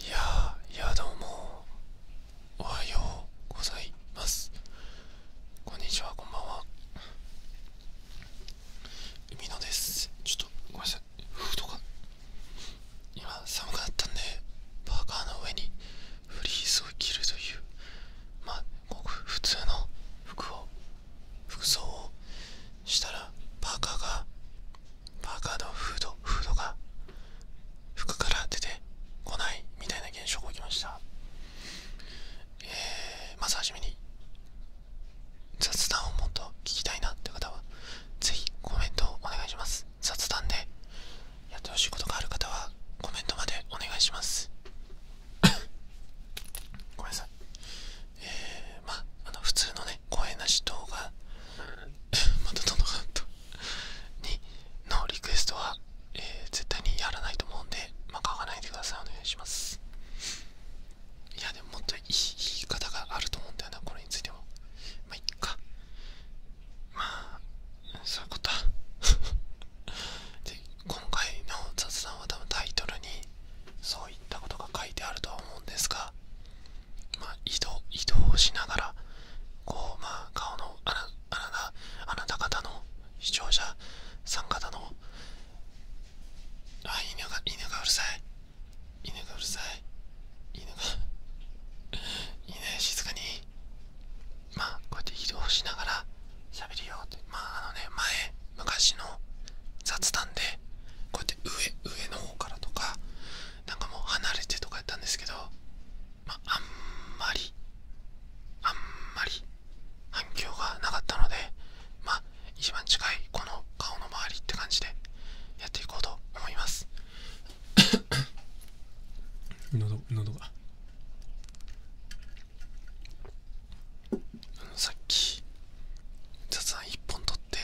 いやいやどうもおはようございますこんにちはこんばんは海野ですちょっとごめんなさいフードが今寒くなったんでパーカーの上にフリースを着るというまあごく普通の服を服装をしたらパーカーがパーカーのフードフードが服から出てこないみたいな現象が起きました、えー、まずはじめに雑談をもっと聞きたいなって方はぜひコメントをお願いします雑談でやってほしいことがある方はコメントまでお願いします ごめんなさいえー、まああの普通のねね声なし動画 またどんどんカトにのリクエストは、え絶対にやらないと思うんで、まあ、書かないでくださいお願いしますいやでももっといい言い方があると思うんだよなこれについてもまあいっかまあそういうこと 今回の雑談は多分タイトルにそういったことが書いてあるとは思うんですがまあ、移動しながらこう、まあ、顔のあなあなた方の視聴者さん方のあ犬が犬がうるさい犬がうるさい犬がいいね静かにまあこうやって移動しながら喋りようってまああのね前昔の雑談でこうやって上上の方からとかなんかもう離れてとかやったんですけど、まあ、あんまりあんまり反響がなかったのでまあ一番近いこの顔の周りって感じでやっていこうと思います 喉喉がさっき雑談1本取って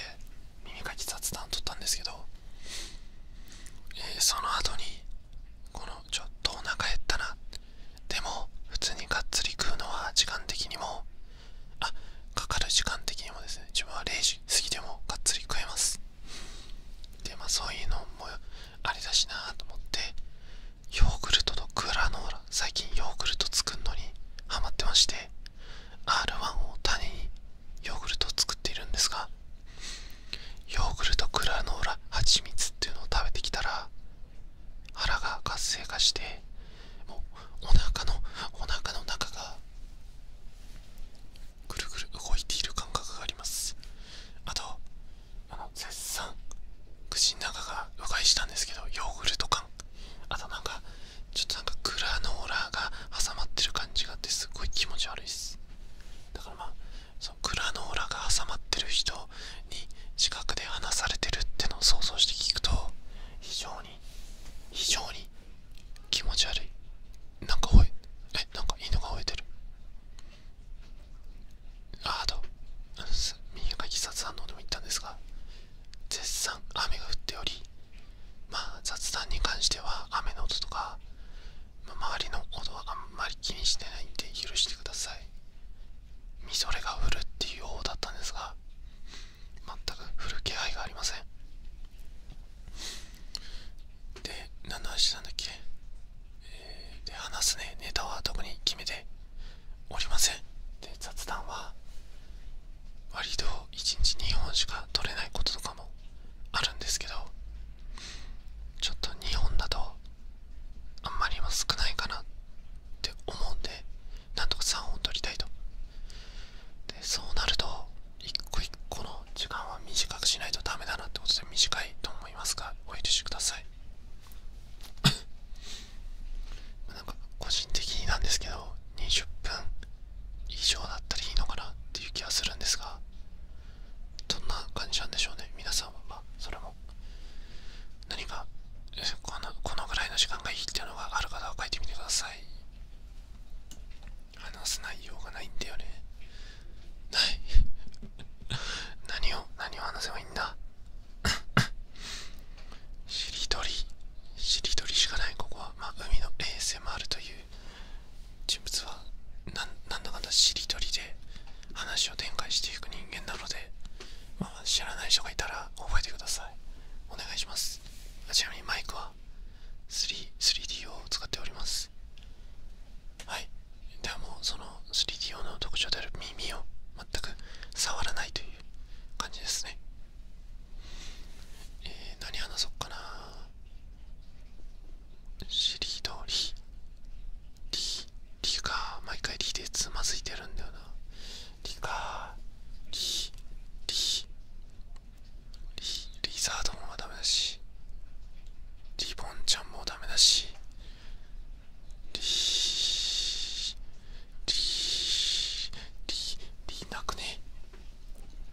耳かき雑談撮ったんですけど、えその後にこのちょっとお腹減ったなでも普通にがっつり食うのは時間的にもあかかる時間的にもですね自分は0時過ぎてもがっつり食えますでまあそういうのもあれだしなと思ってヨーグルトとグラノーラ最近ヨーグルト作るのにハマってまして R1 を種にヨーグルトを作っているんですがヨーグルトグラノーラ蜂蜜っていうのを食べてきたら腹が活性化してもうお腹のお腹の中がぐるぐる動いている感覚がありますあとあの絶賛口の中がうがいしたんですけどヨーグルト感あとなんかちょっとなんかグラノーラが挟まってる感じがあってすごい気持ち悪いですだからまあそのグラノーラが挟まってる人に近くで話されてるってのを想像して聞くと非常に非常に気持ち悪いなんか吠い。えなんか犬が吠えてるああと右書き殺反応でも言ったんですが絶賛雨が降っておりまあ、雑談に関しては雨の音とか、周りのことはあんまり気にしてないんで許してくださいみぞれが降るっていう方だったんですが全く降る気配がありませんで何の話なんだっけ、えー、で話すねネタは特に決めておりませんで雑談は割と1日2本しか取れないこととかもあるんですけどちょっと2本だとあんまりも少ないかなって思うんでなんとか3本取りたいとでそうなると1個1個の時間は短くしないとダメだなってことで短いと思いますがお許しください なんか個人的になんですけど20分以上だったらいいのかなっていう気はするんですがどんな感じなんでしょうね皆さんはまあそれも何かこのこのぐらいの時間がいいっていうのがある方は書いてみてください話す内容がないんだよねない 何を何を話せばいいんだ しりとりしりとりしかないここはまあ海の ASMR ASMR という人物はなんだかんだしりとりで話を展開していく人間なので、まあ、知らない人がいたら覚えてくださいお願いしますちなみにマイクは 3, 3D を使っておりますはいではもうその 3D 用の特徴である耳を全く触らないという感じですねえ何話そうかなしりとりりりか毎回りでつまずいてるんだよなりかりりリリザードもダメだしリボンちゃんもダメだしリリリリなくね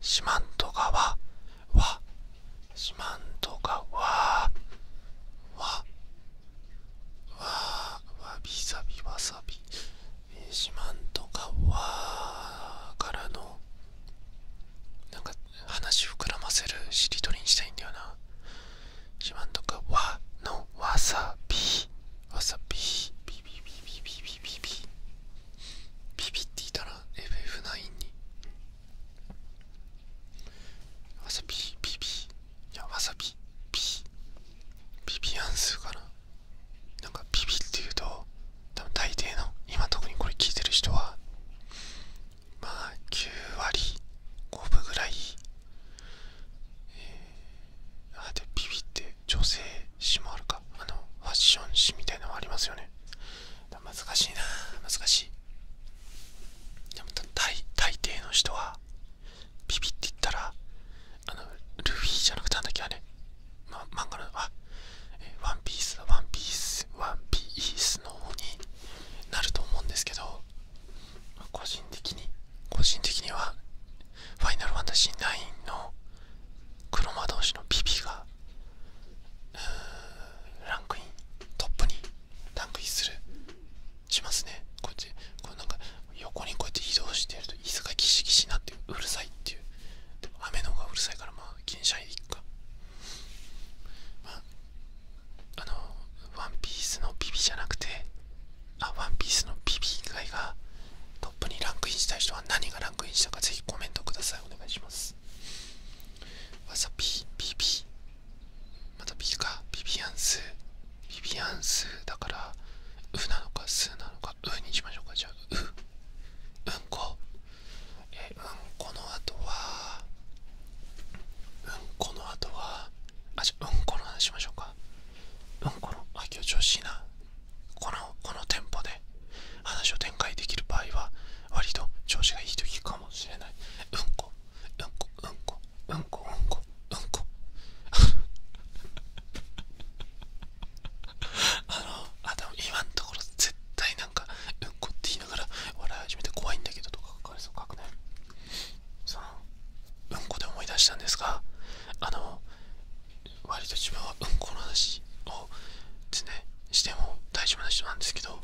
四万十川は四万十川はわわびさびわさび四万十川からのなんか話を膨らませるしりとりにしたいんだよな四万十川のわさびわさびビビビビビビビビビビビっていたら FF9 にわさびビビいやわさびビビビアンスかななんかビビって言うと多分大抵の今特にこれ聞いてる人はまあ9割5分ぐらいえー、あでビビって女性誌もるかあのファッション誌みたいなのありますよね難しいな難しいでも大大抵の人はビビって言ったらあのルフィじゃなくてなんだっけあれ、ま、漫画のあえワンピースワンピースワンピースの方になると思うんですけど個人的に個人的にはファイナルファンタジー9の黒魔同士の BB がランクイントップにランクインするしますねこっちこうなんか横にこうやって移動してると椅子がギシギシになってうるさいっていう雨の方がうるさいからまあ気にしないっかあのワンピースの BB じゃなくてあワンピースの BB 以外がトップにランクインしたい人は何がランン。クイコメントくださいお願いしますわさび BB またピかビビアンスビビアンスだからうなのかすなのかうにしましょうかじゃあううんこえうんこの後はうんこの後はあちゃうんこの話しましょうかうんこのあ今日調子いいなこのこのテンポで話を展開できる場合は割と調子がいい時かもしれないうんこうんこうんこうんこうんこうんこ あのあで今のところ絶対なんかうんこって言いながら笑い始めて怖いんだけどとか書かれそう書くねそのうんこで思い出したんですがあの割と自分はうんこの話をでしても大丈夫な人なんですけど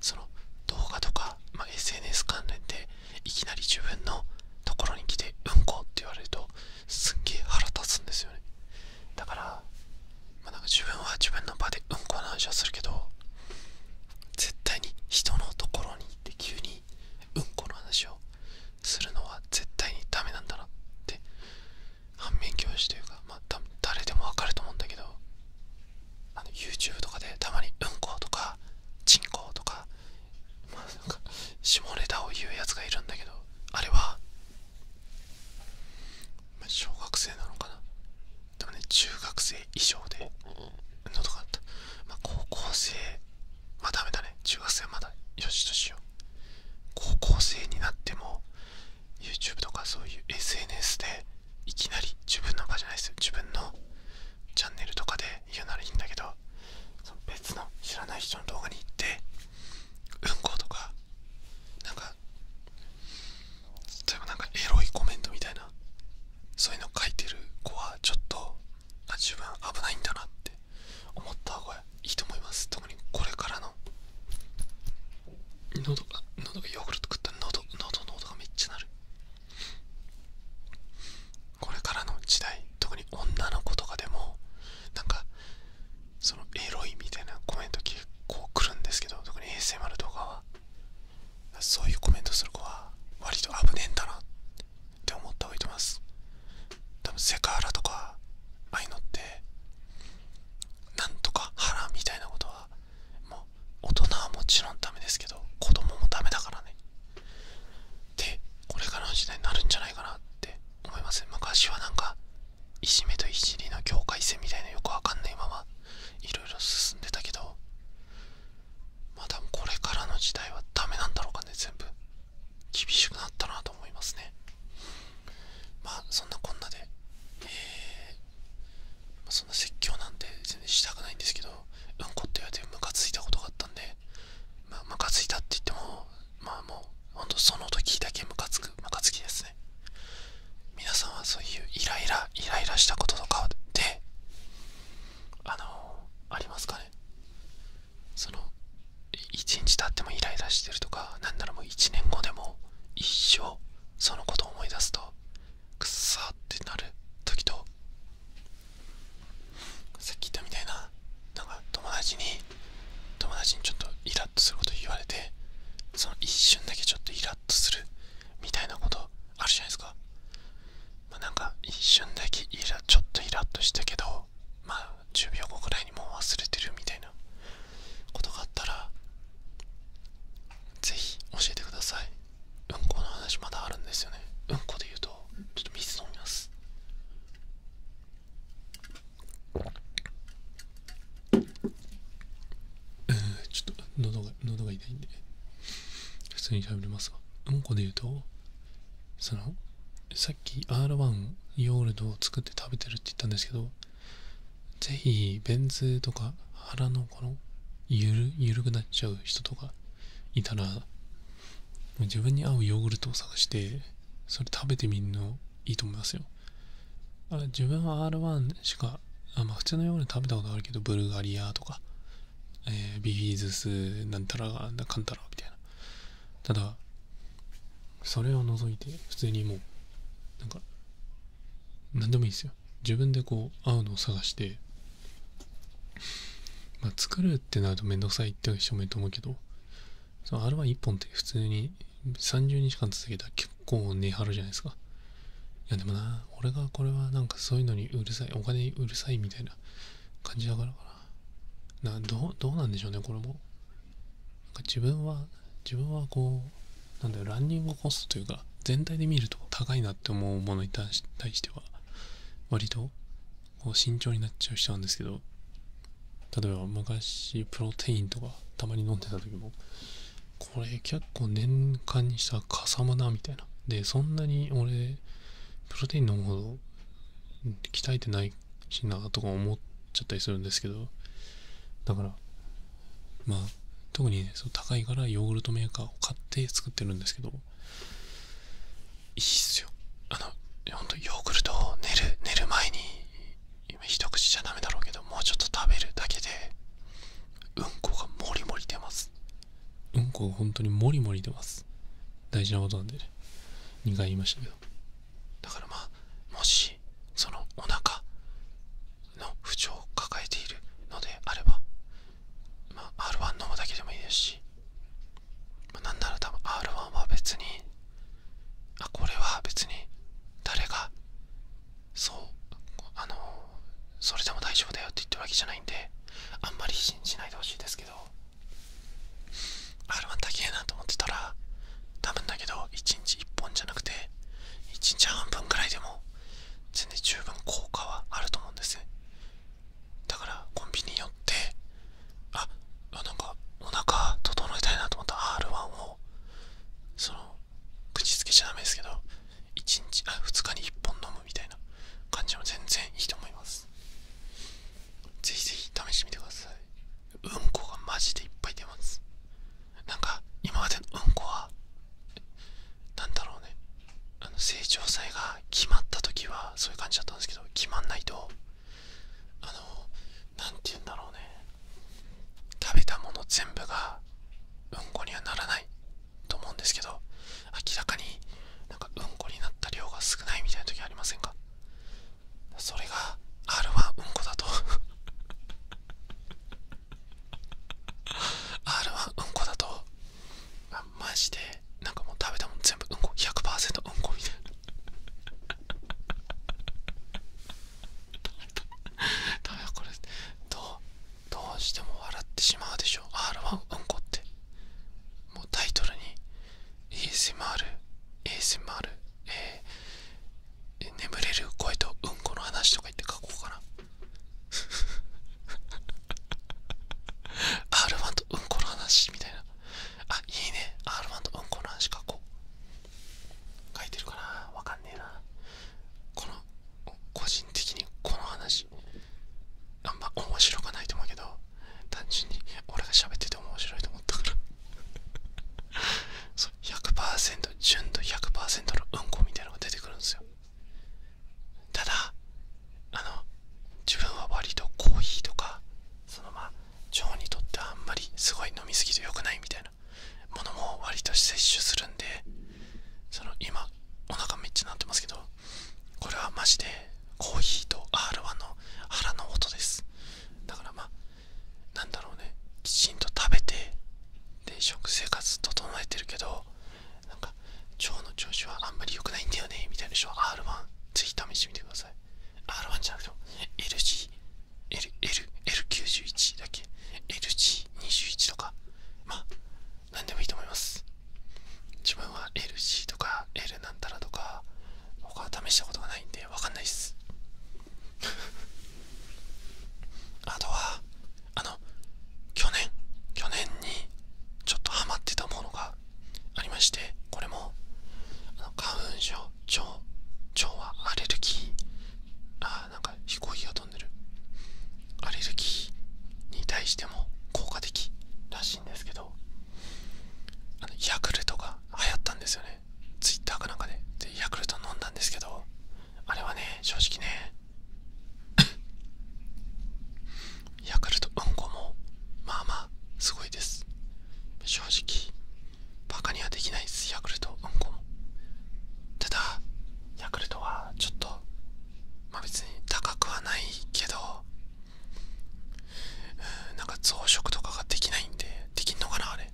その動画とか、ま SNS 関連でいきなり自分のところに来てうんこって言われるとすっげえ腹立つんですよねだから、まなんか自分は自分の場でうんこの話はするけど絶対に人のところに行って急にうんこの話をするのは絶対にダメなんだなって反面教師というか、まあ、誰でもわかると思うんだけどあの YouTube とかでたまに「うんこ」とか「人口とか,、まあ、なんか下ネタを言うやつがいるんだけどあれは、ま小学生なのかなでもね中学生以上で喉があった、ま高校生まあダメだね中学生まだよしとしよう高校生になっても YouTube とかそういう SNS でいきなり自分の場じゃないですよ自分のチャンネルとかで言うならいいんだけどその別の知らない人の動画に行ってうんことかなんか例えば何かエロいコメントみたいなそういうの書いてる子はちょっとあ自分危ないんだなって思った方がいいと思います特にこれからの喉が喉がヨーグルト食ったら喉喉の音がめっちゃ鳴るこれからの時代特に女の子とかでもなんかそのエロいみたいなコメント結構来るんですけど特に ASMR 動画はそういうコメントする子は割と危ねえんだなって思った方がいいと思います多分セクハラとかああいうのってなんとか腹みたいなことはもう大人はもちろんダメですけど子供もダメだからねでこれからの時代になるんじゃないかなって思いますね昔はなんかいじめといじりの境界線みたいなよくわかんないままいろいろ進んでたけどまあこれからの時代はダメなんだろうかね全部厳しくなったなと思いますねまあそんなこんなで、えーまそんな説教なんて全然したくないんですけどうんこって言われてムカついたことがあったんでまあムカついたって言ってもまあもうほんとその時だけムカつくムカつきですね皆さんはそういうイライライライラしたこととかであのありますかねその1日経ってもイライラしてるとか何ならもう1年後でも一生そのことを思い出すとくっさってなる時とさっき言ったみたいななんか友達に友達にちょっとイラッとすること言われてその一瞬だけちょっとイラッとするみたいなことあるじゃないですか、まなんか一瞬だけイラちょっとイラッとしたけどまあ10秒後ぐらいにもう忘れてるみたいなことがあったらぜひ教えてくださいうんこの話まだあるんですよねうんこで言うとちょっと水飲みますうんちょっと喉が喉が痛いんで普通に喋りますがうんこで言うとそのさっき R1 ヨーグルトを作って食べてるって言ったんですけど、ぜひ、ベンツとか腹のこのゆる、くなっちゃう人とかいたら、自分に合うヨーグルトを探して、それ食べてみるのいいと思いますよ。あ自分は R1 しか、あま普通のヨーグルト食べたことあるけど、ブルガリアとか、えビフィズスなんたら、かんたらみたいな。ただ、それを除いて普通にもうなんか何でもいいですよ自分でこう合うのを探してま作るってなると面倒くさいって証明と思うけどその R11 本って普通に30日間続けたら結構値張るじゃないですかいやでもな俺がこれはなんかそういうのにうるさいお金うるさいみたいな感じだからかななどうなんでしょうねこれも自分は自分はこうなんだよランニングコストというか全体で見ると高いなって思うものに対しては割とこう慎重になっちゃう人なんですけど例えば昔プロテインとかたまに飲んでた時もこれ結構年間にしたらかさむなみたいなでそんなに俺プロテイン飲むほど鍛えてないしなとか思っちゃったりするんですけどだからまあ特に、ね、そう高いからヨーグルトメーカーを買って作ってるんですけどいいっすよあのほんとヨーグルトを寝る寝る前に今一口じゃダメだろうけどもうちょっと食べるだけでうんこがもりもり出ますうんこが本当にもりもり出ます大事なことなんでね2回言いましたけどだからまあもしそのお腹の不調を抱えているのであれば、まあ、R1 飲むだけでもいいですし、まなんなら多分 R1 は別にあこれは別に誰がそうあのそれでも大丈夫だよって言ってるわけじゃないんであんまり信じないでほしいですけど。R1 だけえなと思ってたら多分だけど1日1本じゃなくて1日半分くらいでも全然十分効果はあると思うんですだからコンビニに寄ってあなんかお腹整えたいなと思ったら R1 をその口つけちゃダメですけど1日あ2日に1本飲むみたいな感じは全然いいと思いますぜひぜひ試してみてくださいうんこがマジでいっぱい出ますなんか今までのうんこは何だろうねあの成長祭が決まった時はそういう感じだったんですけど決まんないとあの何て言うんだろうね食べたもの全部がうんこにはならないと思うんですけど明らかになんかうんこになった量が少ないみたいな時ありませんかそれが R はうんこだと R は うんこだとあマジでなんかもう食べたもん全部うんこ100%うんこみたいな多 これどうどうしても笑ってしまうでしょう、R はうんこってもうタイトルに ASMR、ASMR、えー、眠れる声とうんこの話とか言って書こうかな。R1 とうんこの話みたいな。あ、いいね。R1 とうんこの話書こう。書いてるかなわかんねえな。この、個人的にこの話、あんま面白くないと思うけど、単純に俺が喋ってて面白いと思ったから。そう100%純度100%のうんこみたいなのが出てくるんですよただあの自分は割とコーヒーとかそのま腸にとってあんまりすごい飲みすぎて良くないみたいなものも割と摂取するんでその今お腹めっちゃ鳴ってますけどこれはマジでコーヒーと R1 の腹の音ですだからなんだろうねきちんと食べてで食生活整えてるけどなんか腸の調子はあんまり良くないんだよねみたいな人 R1 ぜひ試してみてください R1 じゃなくて LG LL91 l だっけ LG21 とかまあ何でもいいと思います自分は LG とか L なんたらとか他試したことがないんで分かんないっすあとはあの去年去年にちょっとハマってたものがありましてこれもあの花粉症腸腸はアレルギーああ、なんか飛行機が飛んでるアレルギーに対しても効果的らしいんですけどヤクルトが流行ったんですよねツイッターかなんかででヤクルト飲んだんですけどあれはね正直ね ヤクルトうんこもまあまあすごいです正直バカにはできないですヤクルトうんこもただヤクルトはちょっとまあ別に高くはないけどうんなんか増殖とかができないんでできんのかなあれ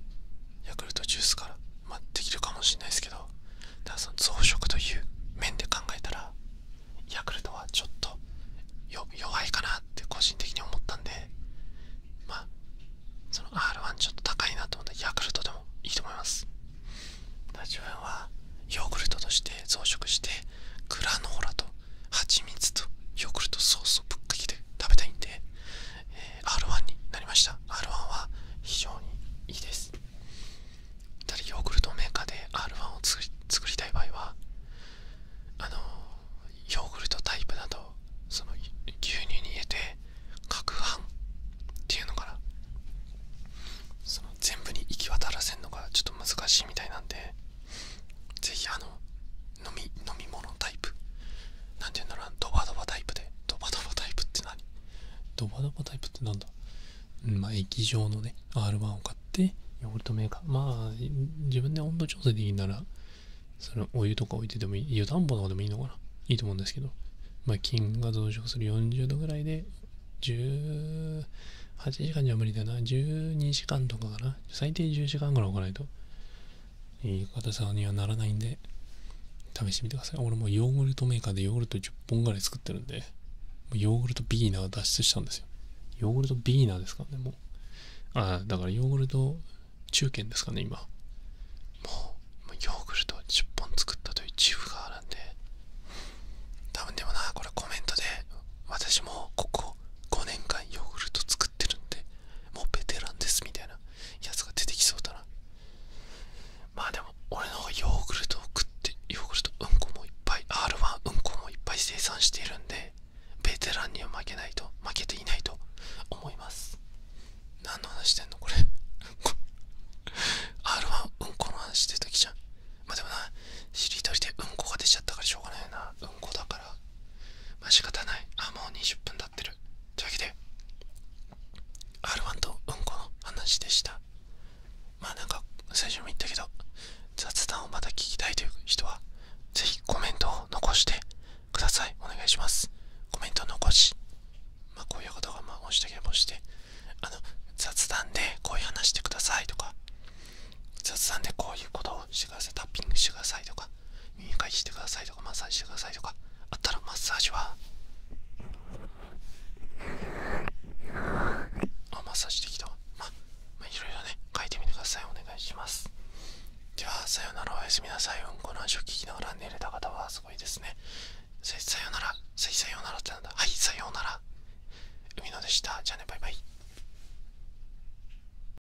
ヤクルトジュースからまできるかもしんないですけどただその増殖という面で考えたらヤクルトはちょっと弱いかなって個人的に思ったんでまあその R1 ちょっと高いなと思ったヤクルトでもいいと思います自分はヨーグルトとして増殖してグラノーラと蜂蜜とヨーグルトソースをぶっかけて食べたいんで、え R1 になりました R1 は非常にいいですただヨーグルトメーカーで R1 を作りたい場合はあのヨーグルトタイプなどその牛乳に入れて攪拌っていうのかな全部に行き渡らせるのがちょっと難しいみたいなんでぜひあの飲み飲み物タイプなんて言うんだろうドバドバタイプでドバドバタイプって何ドバドバタイプって何だまあ液状のね R1 を買ってヨーグルトメーカーまあ自分で温度調整でいるならそれお湯とか置いててもいい湯たんぽとかでもいいのかないいと思うんですけどまあ菌が増殖する40度ぐらいで18時間じゃ無理だな12時間とかかな最低10時間ぐらい置かないといい硬さにはならないんで、試してみてください。俺もヨーグルトメーカーでヨーグルト10本ぐらい作ってるんで、ヨーグルトビーナー脱出したんですよ。ヨーグルトビーナーですからね、もう。ああ、だからヨーグルト中堅ですかね、今。もう、ヨーグルト10本作ったという自負があるんで。多分でもな、これコメントで、私もここ5年間ヨーグルト作ってるんで、もうベテランですみたいなやつが出てきそうだなまあでも俺の方がヨーグルトを食ってヨーグルトうんこもいっぱい R1 うんこもいっぱい生産しているんでベテランには負けないと負けていないと思います何の話してんのこれ R1 うんこの話してるときじゃんまあでもなしりとりでうんこが出ちゃったからしょうがないなうんこだからまあ仕方ないあもう20分経ってるというわけで R1 とうんこの話でしたまあなんか最初も言ったけど雑談をまた聞きたいという人はぜひコメントを残してくださいお願いしますコメントを残しまあこういうことがまあもしたければしてあの雑談でこういう話してくださいとか雑談でこういうことをしてくださいタッピングしてくださいとか耳かしてくださいとかマッサージしてくださいとかあったらマッサージはあマッサージできたままあいろいろね書いてみてくださいお願いしますではさよならおやすみなさいうんこの話を聞きながら寝れた方はすごいですねさよならさよならってなんだはいさよなら海野でしたじゃあねバイバイ